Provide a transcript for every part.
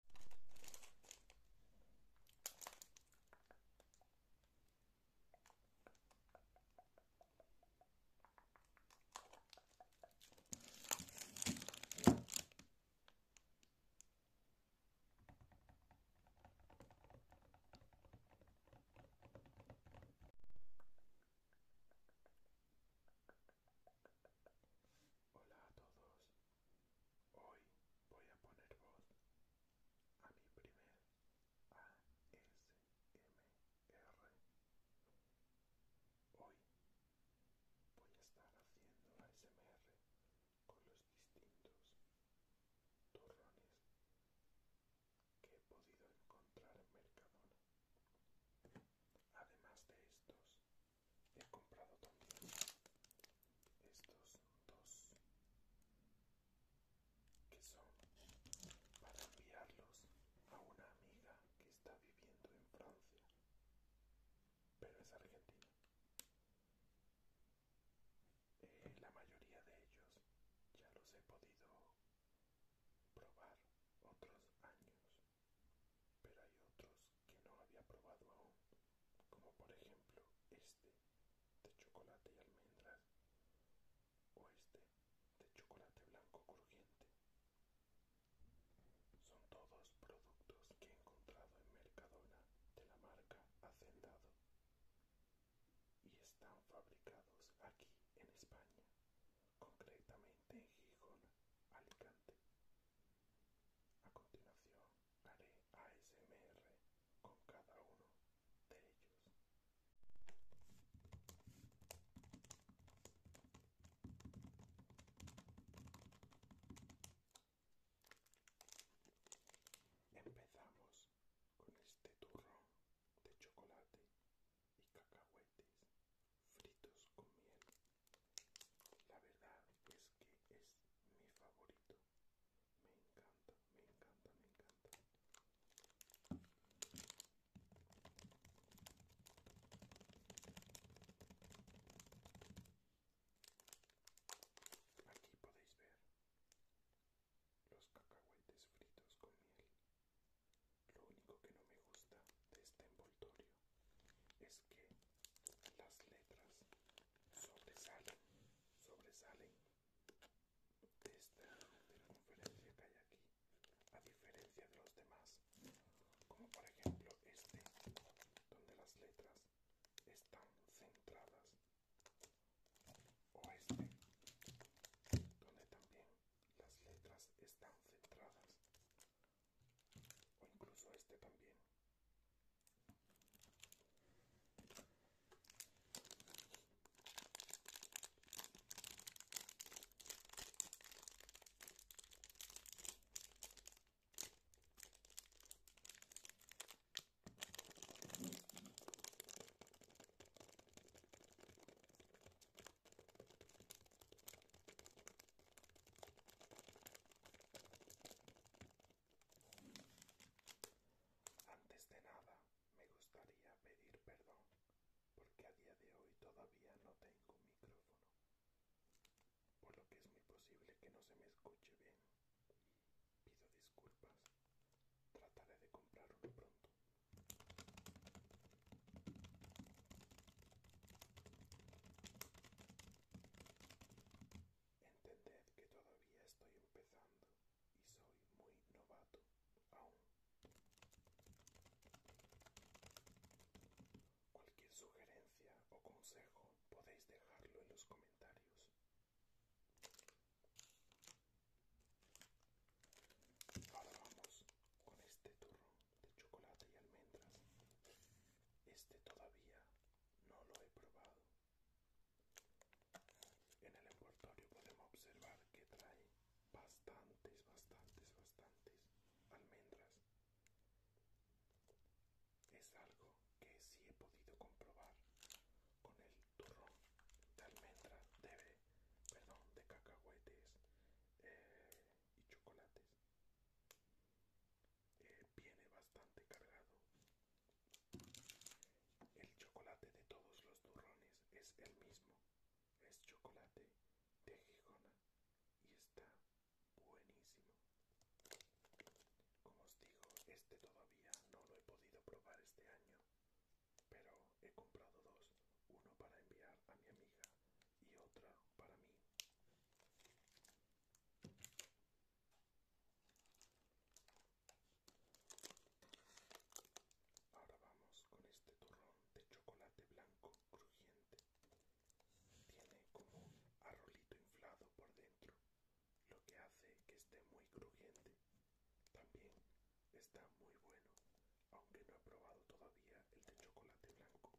Hola a todos, Hoy voy a poner voz a mi primer ASMR. Hoy voy a estar haciendo ASMR con los distintos turrones que he podido encontrar en Mercadona. Además de estos, he comprado también estos dos que son para enviarlos a una amiga que está viviendo en Francia pero es argentina eh, la mayoría de ellos ya los he podido probar otros años pero hay otros que no había probado aún, como por ejemplo este de chocolate y almendras o este de chocolate blanco crujiente. Son todos productos que he encontrado en Mercadona de la marca Hacendado y están fabricados aquí en España, concretamente en Gijón, Alicante. A continuación haré ASMR con cada uno de ellos. Empezamos con este turrón de chocolate y cacahuetes fritos con miel. La verdad es que es mi favorito. Me encanta, me encanta, me encanta. Aquí podéis ver los cacahuetes fritos con miel. Lo único que no me gusta de este envoltorio es que las letras sobresalen, sobresalen de esta, circunferencia que hay aquí, a diferencia de los demás, como por ejemplo este, donde las letras están centradas, o este, donde también las letras están centradas o incluso este también antes de nada, me gustaría pedir perdón porque a día de hoy todavía no tengo un micrófono, por lo que es muy posible que no se me escuche bien. Pido disculpas, trataré de comprar uno pronto. Entended que todavía estoy empezando y soy muy novato aún. Cualquier sugerencia o consejo podéis dejarlo en los comentarios. Ahora vamos con este turro de chocolate y almendras. Este todavía no lo he probado. En el envoltorio podemos observar que trae bastantes, bastantes, bastantes almendras. Es algo que sí he podido comprobar con el turrón de almendras, de, perdón, de cacahuetes eh, y chocolates. Eh, viene bastante cargado. El chocolate de todos los turrones es el mismo. Es chocolate de Gijona y está buenísimo. Como os digo, este todavía no lo he podido probar este año, pero he comprado dos, uno para enviar a mi amiga y otro para mí. Ahora vamos con este turrón de chocolate blanco crujiente. Tiene como un arrolito inflado por dentro, lo que hace que esté muy crujiente. También está muy bueno, aunque no he probado todavía el de chocolate blanco,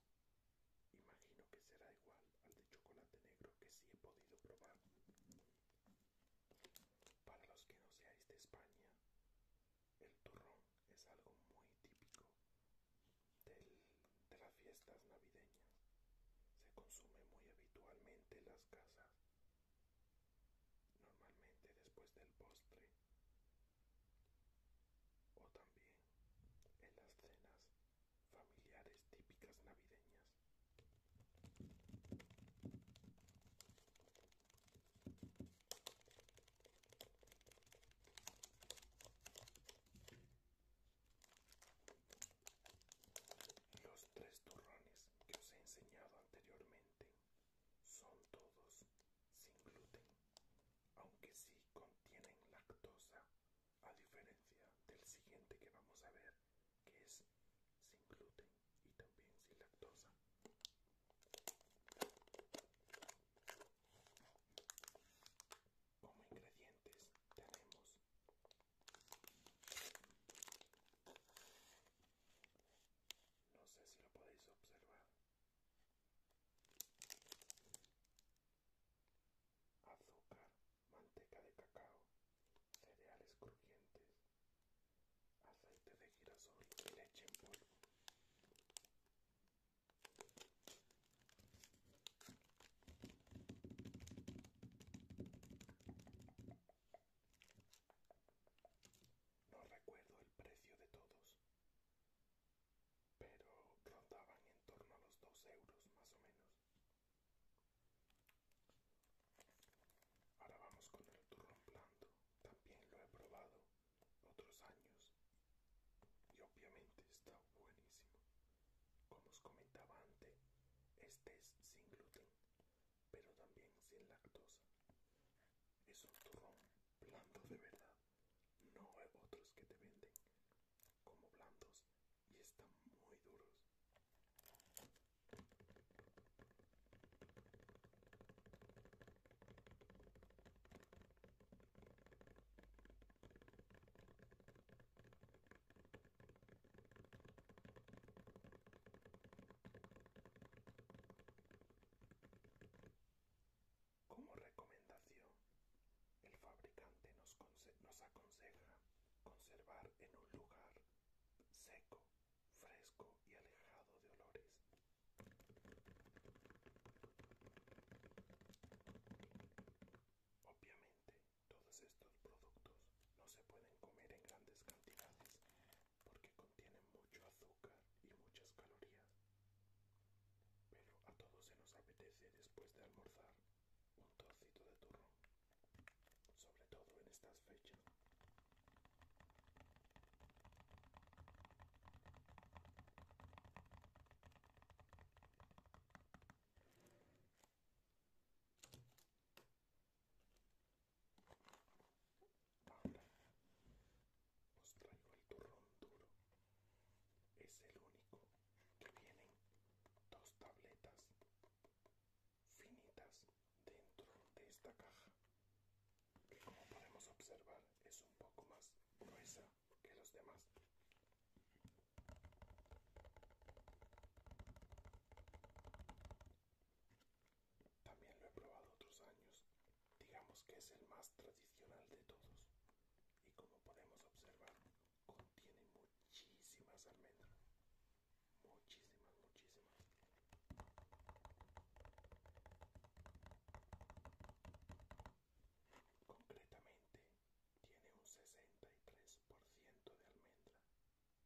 Imagino que será igual al de chocolate negro que sí he podido probar. Para los que no seáis de España, el turrón es algo muy típico de las fiestas navideñas. Se consume muy habitualmente en las casas, normalmente después del postre o también en las cenas familiares típicas navideñas. Los tres turrones que os he enseñado anteriormente son todos sin gluten, aunque sí contienen lactosa a diferencia del siguiente que vamos a ver que es sin gluten y también sin lactosa como ingredientes tenemos no sé si lo podéis observar azúcar manteca de cacao, cereales crujientes, aceite de girasol y leche en polvo. No recuerdo el precio de todos, pero rondaban en torno a los dos euros más o menos. Ahora vamos con el turrón blando. También lo he probado otros años y obviamente está buenísimo. Como os comentaba antes, este es sin gluten, pero también sin lactosa. Es un turrón blando de verdad. No hay otros que te venden como blandos y están muy duros. Como recomendación, el fabricante nos, aconseja conservar en un lugar seco, fresco y alejado de olores. Obviamente, todos estos productos no se pueden comer en grandes cantidades porque contienen mucho azúcar y muchas calorías. Pero a todos se nos apetece después de almorzar un torcito de turrón, sobre todo en estas fechas. Ahora traigo el turrón duro. Es el único que vienen dos tabletas finitas dentro de esta caja que como podemos observar es un poco más gruesa que los demás también lo he probado otros años digamos que es el más tradicional de todos y como podemos observar contiene muchísimas almendras muchísimas muchísimas concretamente tiene un 63% de almendra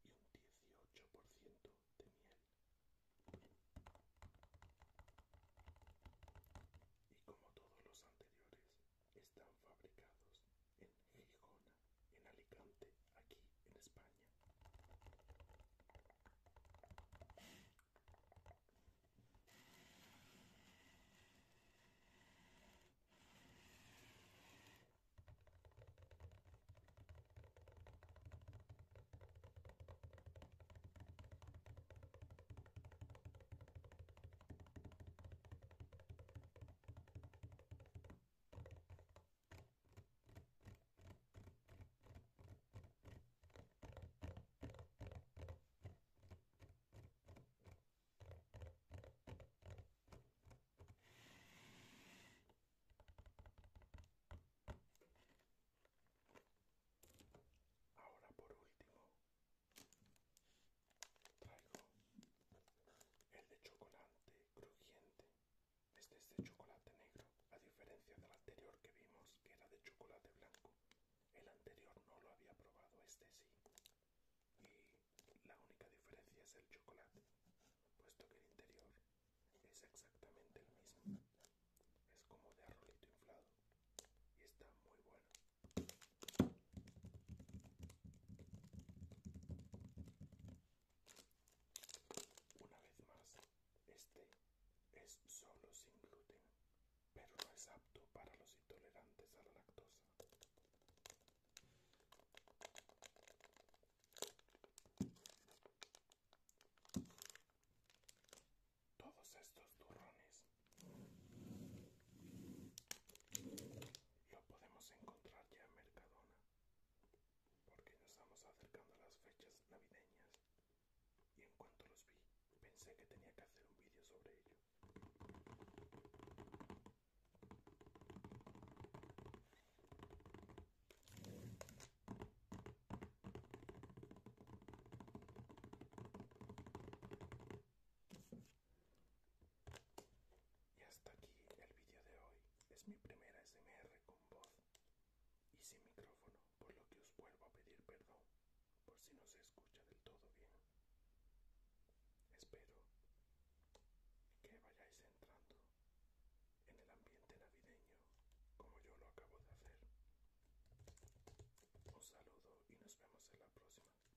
y un 18% de miel y como todos los anteriores están fabricados en Gijona, en Alicante, aquí en España. Ahora por último Traigo el de chocolate crujiente. Este es de chocolate negro, a diferencia del anterior que vimos, que era de chocolate blanco. El anterior no lo había probado, este sí. Y la única diferencia es el chocolate, puesto que el interior es exactamente el mismo. Es como de arrolito inflado y está muy bueno. Una vez más, este es solo sin gluten, pero no es apto para los intolerantes a la lactosa. Todos estos turrones lo podemos encontrar ya en Mercadona, porque nos estamos acercando a las fechas navideñas y en cuanto los vi pensé que tenía que hacer un vídeo sobre ello. Y hasta aquí el vídeo de hoy. Es mi primera SMR con voz y sin micrófono, por lo que os vuelvo a pedir perdón por si no se escucha del todo bien. Espero que vayáis entrando en el ambiente navideño como yo lo acabo de hacer. Un saludo y nos vemos en la próxima.